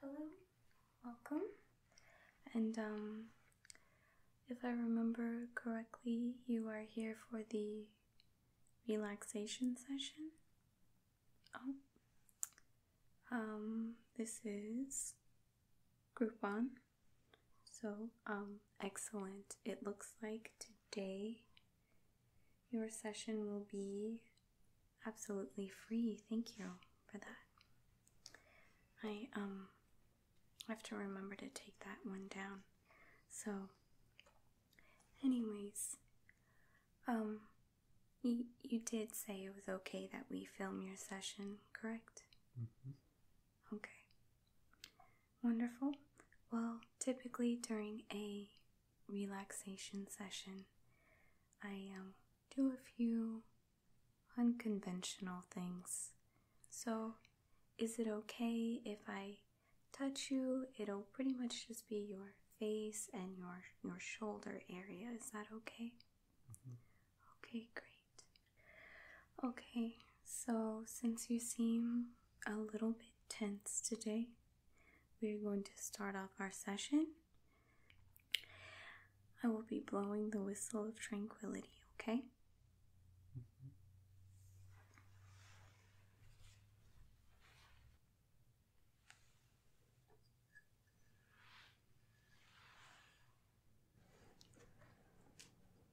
hello, welcome. And um, if I remember correctly, you are here for the relaxation session. Oh, um, this is Group One. So, um, excellent. It looks like today your session will be absolutely free. Thank you for that. I um have to remember to take that one down. So, anyways, um, you, you did say it was okay that we film your session, correct? Mm-hmm. Okay. Wonderful. Well, typically during a relaxation session, I um, do a few unconventional things. So, is it okay if I touch you? It'll pretty much just be your face and your your shoulder area. Is that okay? Mm-hmm. Okay, great. Okay, so since you seem a little bit tense today, we're going to start off our session. I will be blowing the whistle of tranquility, okay?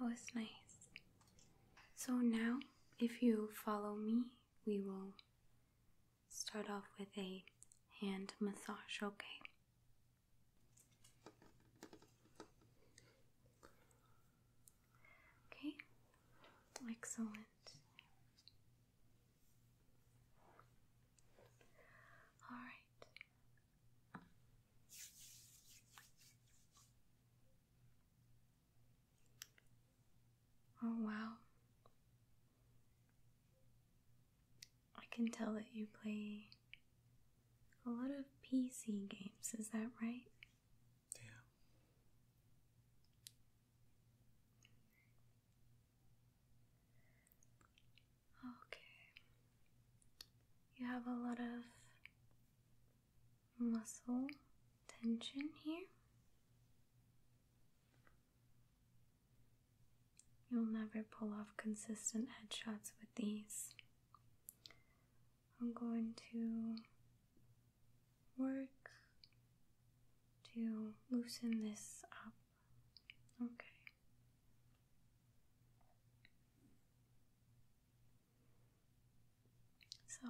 That was nice. So now, if you follow me, we will start off with a hand massage, okay? Okay, excellent. All right. Oh, wow. I can tell that you play a lot of PC games, is that right? Yeah. Okay. You have a lot of muscle tension here. You'll never pull off consistent headshots with these. I'm going to work to loosen this up. Okay. So,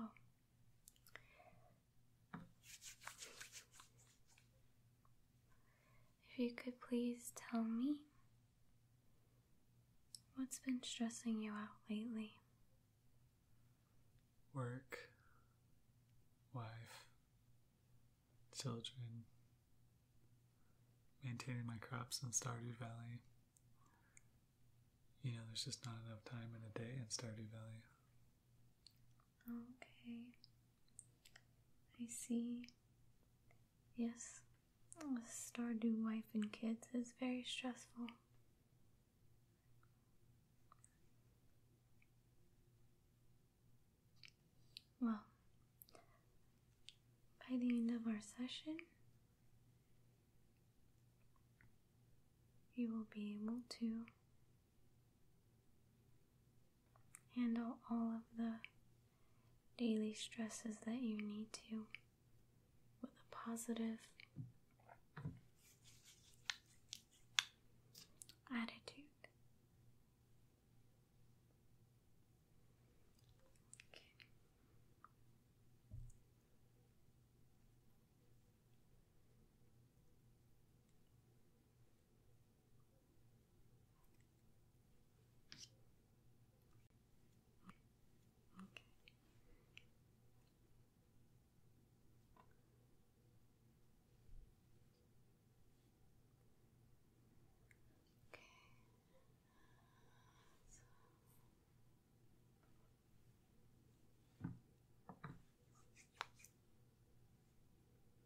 if you could please tell me what's been stressing you out lately? Work, wife, children, maintaining my crops in Stardew Valley. You know, there's just not enough time in a day in Stardew Valley. Okay. I see. Yes, a oh, stardew wife and kids is very stressful. Well, by the end of our session, you will be able to handle all of the daily stresses that you need to with a positive attitude. Okay. Okay. So. Okay.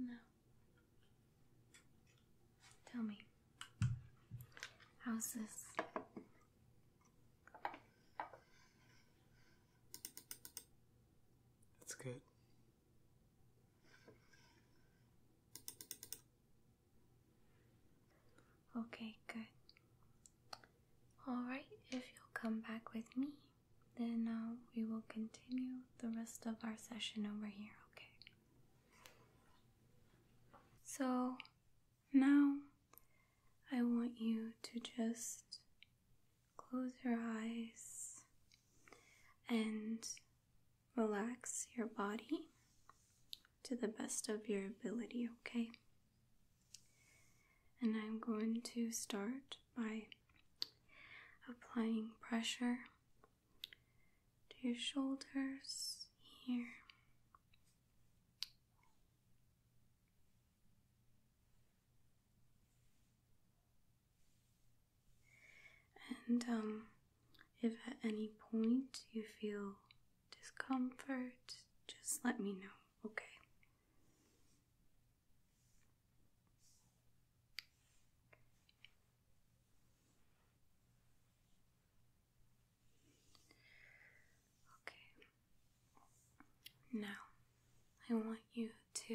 Alright, so now Tell me, how's this? That's good. Okay, good. Alright, if you'll come back with me, then uh, we will continue the rest of our session over here, okay? So now I want you to just close your eyes and relax your body to the best of your ability, okay? And I'm going to start by applying pressure to your shoulders here. And um, if at any point you feel discomfort, just let me know, okay? Okay. Now, I want you to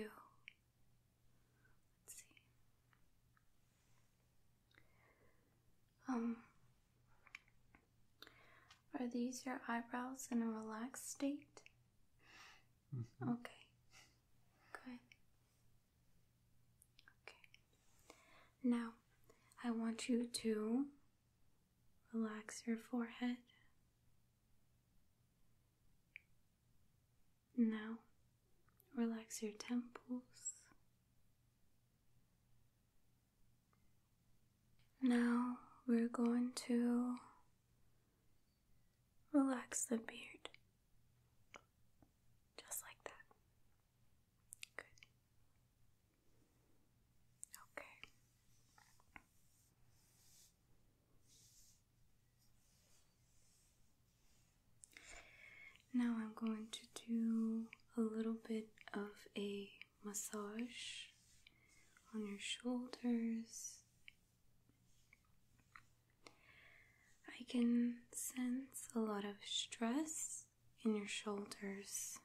let's see. Um are these your eyebrows in a relaxed state? Mm-hmm. Okay. Good. Okay. Now, I want you to relax your forehead. Now, relax your temples. Now, we're going to relax the beard. Just like that. Good. Okay. Now I'm going to do a little bit of a massage on your shoulders. I can sense a lot of stress in your shoulders.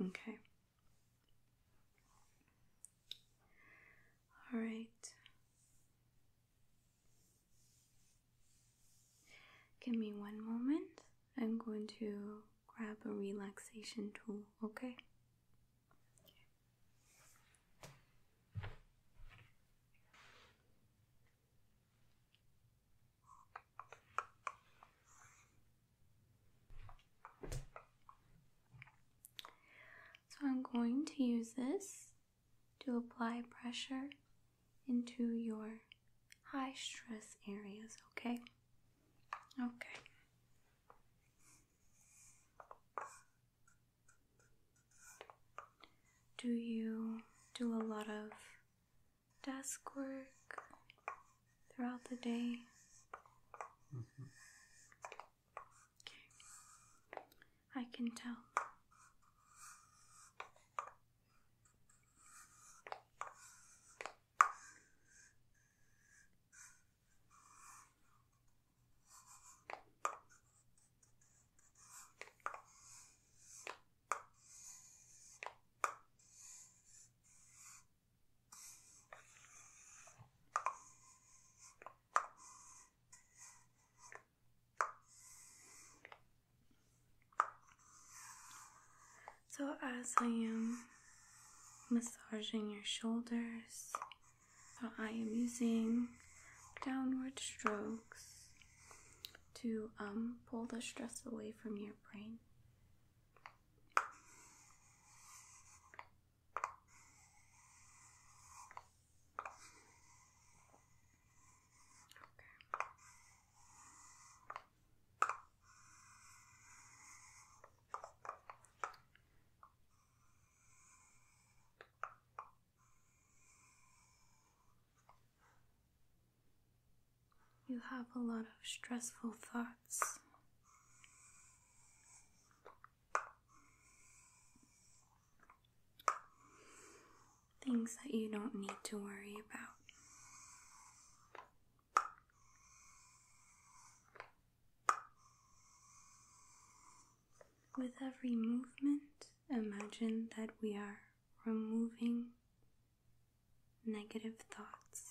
Okay. All right. Give me one moment. I'm going to grab a relaxation tool, okay? So I'm going to use this to apply pressure into your high stress areas, okay? Okay. Do you do a lot of desk work throughout the day. I can tell. So, as I am massaging your shoulders, so I am using downward strokes to um, pull the stress away from your brain. You have a lot of stressful thoughts. Things that you don't need to worry about. With every movement, imagine that we are removing negative thoughts.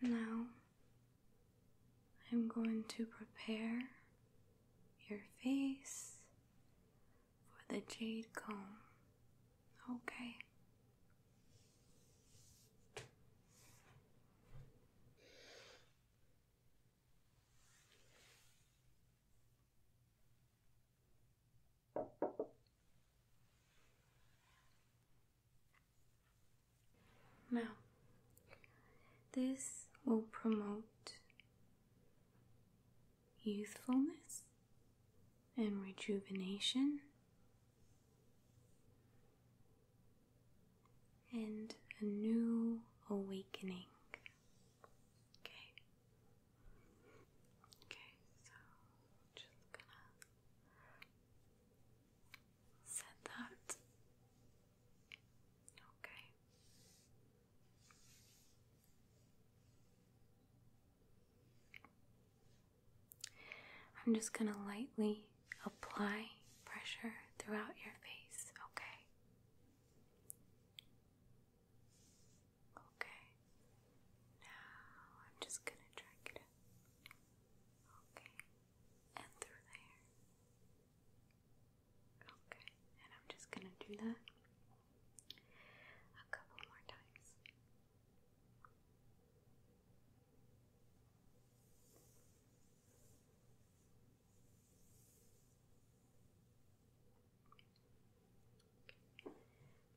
now I'm going to prepare your face for the jade comb. Okay. Now, this will promote youthfulness and rejuvenation and a new awakening. Okay. Okay, so just gonna said that. Okay. I'm just going to lightly apply pressure throughout your face, okay? Okay. Now I'm just going to drag it Okay. And through there. Okay. And I'm just going to do that a couple more times.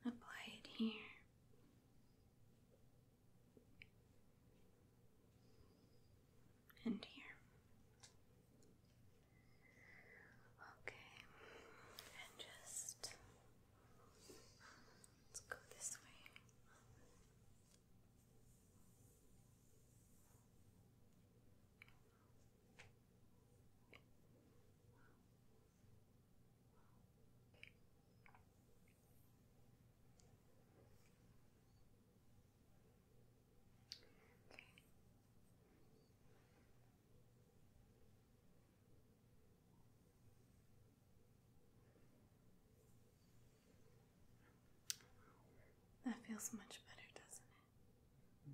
Apply it here and here. Okay, and just let's go this way. That feels much better, doesn't it?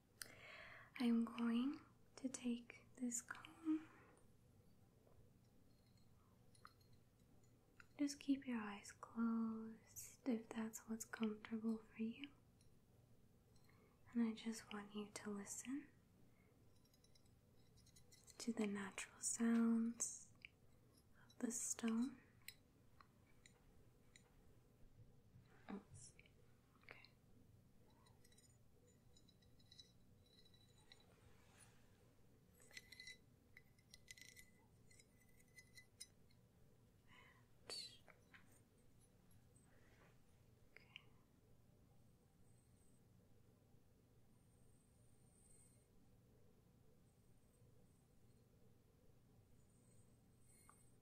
I'm going to take this comb. Just keep your eyes closed if that's what's comfortable for you. And I just want you to listen to the natural sounds of the stone Oh, okay. And okay. Okay.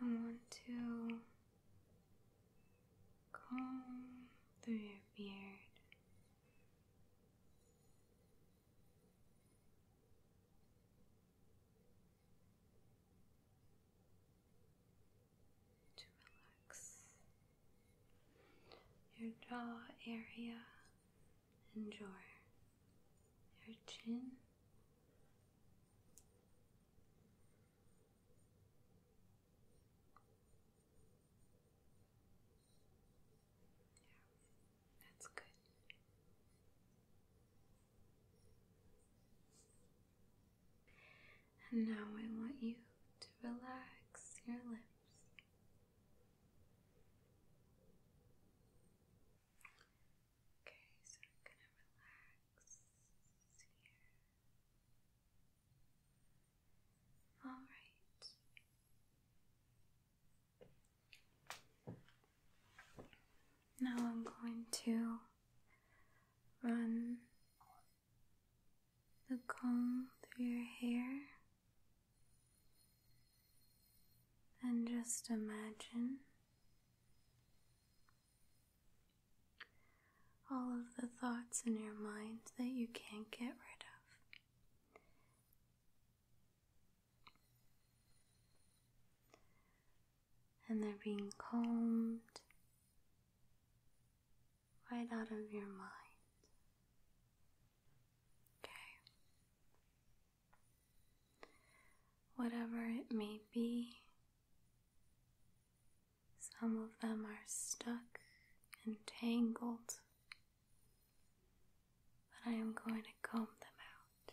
I want to comb through your beard to relax your jaw area and jaw, your chin. Yeah, that's good. And now I want you to relax your lips. Okay, so I'm gonna relax here. All right. Now I'm going to run the comb through your hair, and just imagine all of the thoughts in your mind that you can't get rid of. And they're being combed right out of your mind. Okay. Whatever it may be, some of them are stuck and tangled, but I am going to comb them out.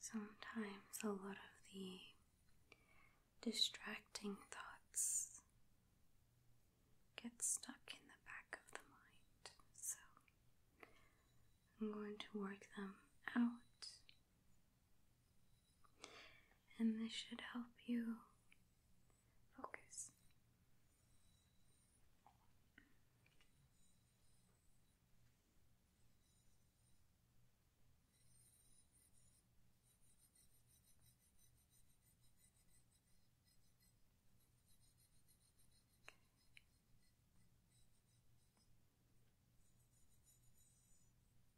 Sometimes a lot of the distracting thoughts get stuck in the back of the mind, so I'm going to work them out and this should help you focus.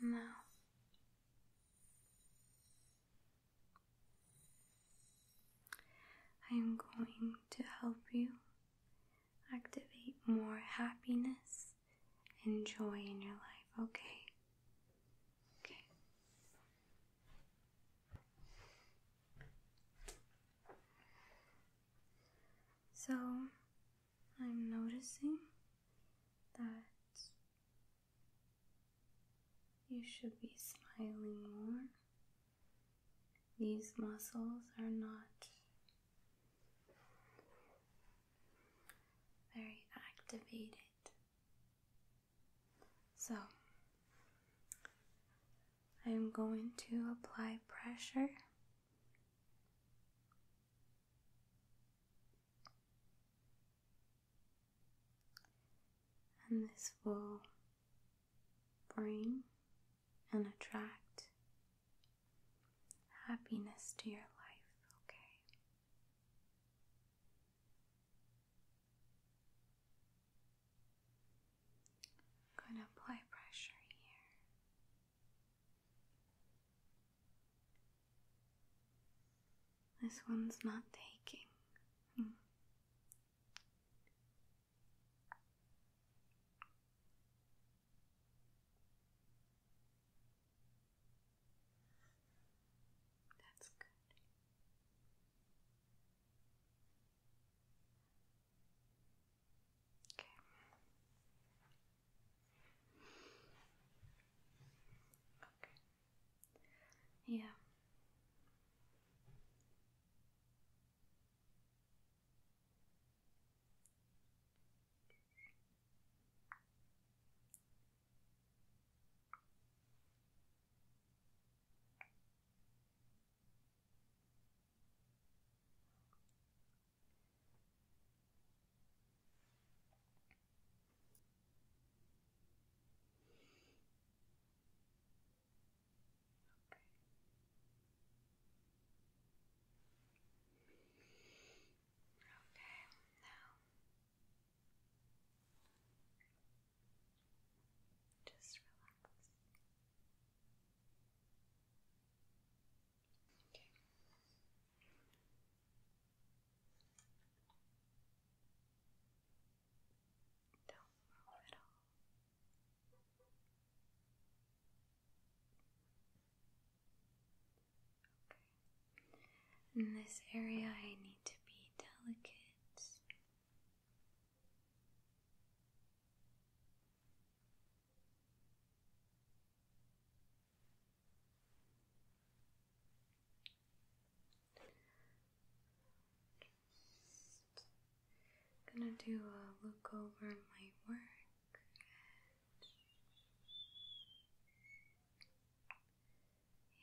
no. I am going to help you activate more happiness and joy in your life, okay? Okay. So, I'm noticing that you should be smiling more. These muscles are not very activated. So, I am going to apply pressure and this will bring and attract happiness to your life, okay? I'm gonna apply pressure here. This one's not taking. Hmm. That's good. Okay. Okay. Yeah. Okay, now just relax. Okay. Don't move at all. Okay. In this area, I need to be delicate. I'm gonna do a look over my work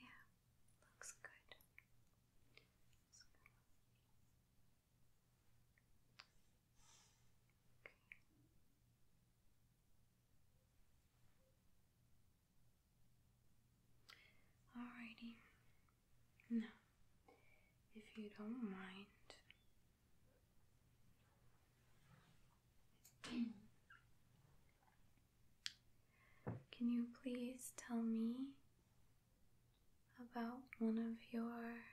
yeah, looks good. Alrighty. Now, if you don't mind, can you please tell me about one of your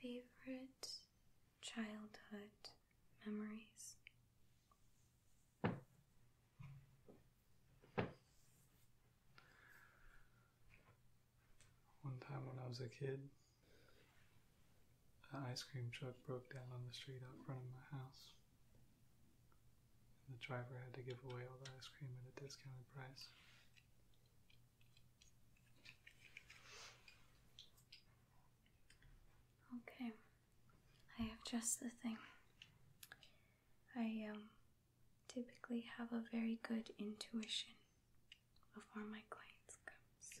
Favorite childhood memories. One time when I was a kid, an ice cream truck broke down on the street out front of my house. And the driver had to give away all the ice cream at a discount price. Okay, I have just the thing. I um, typically have a very good intuition of where my clients comes.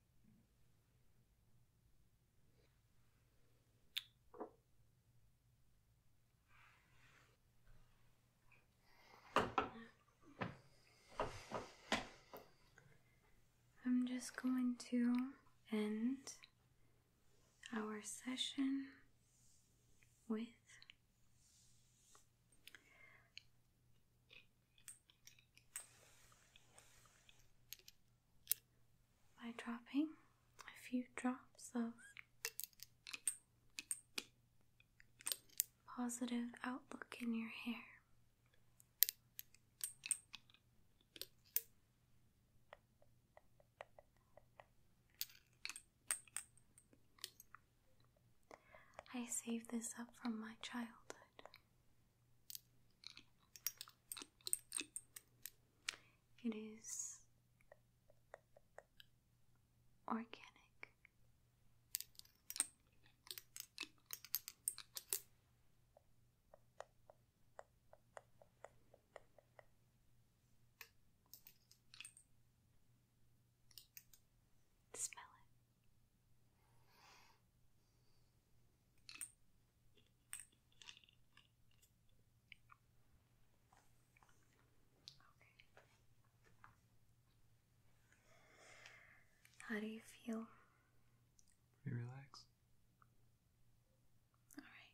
I'm just going to end our session with by dropping a few drops of positive outlook in your hair. I saved this up from my childhood. It is organic. Smell it. How do you feel? Pretty relaxed. All right.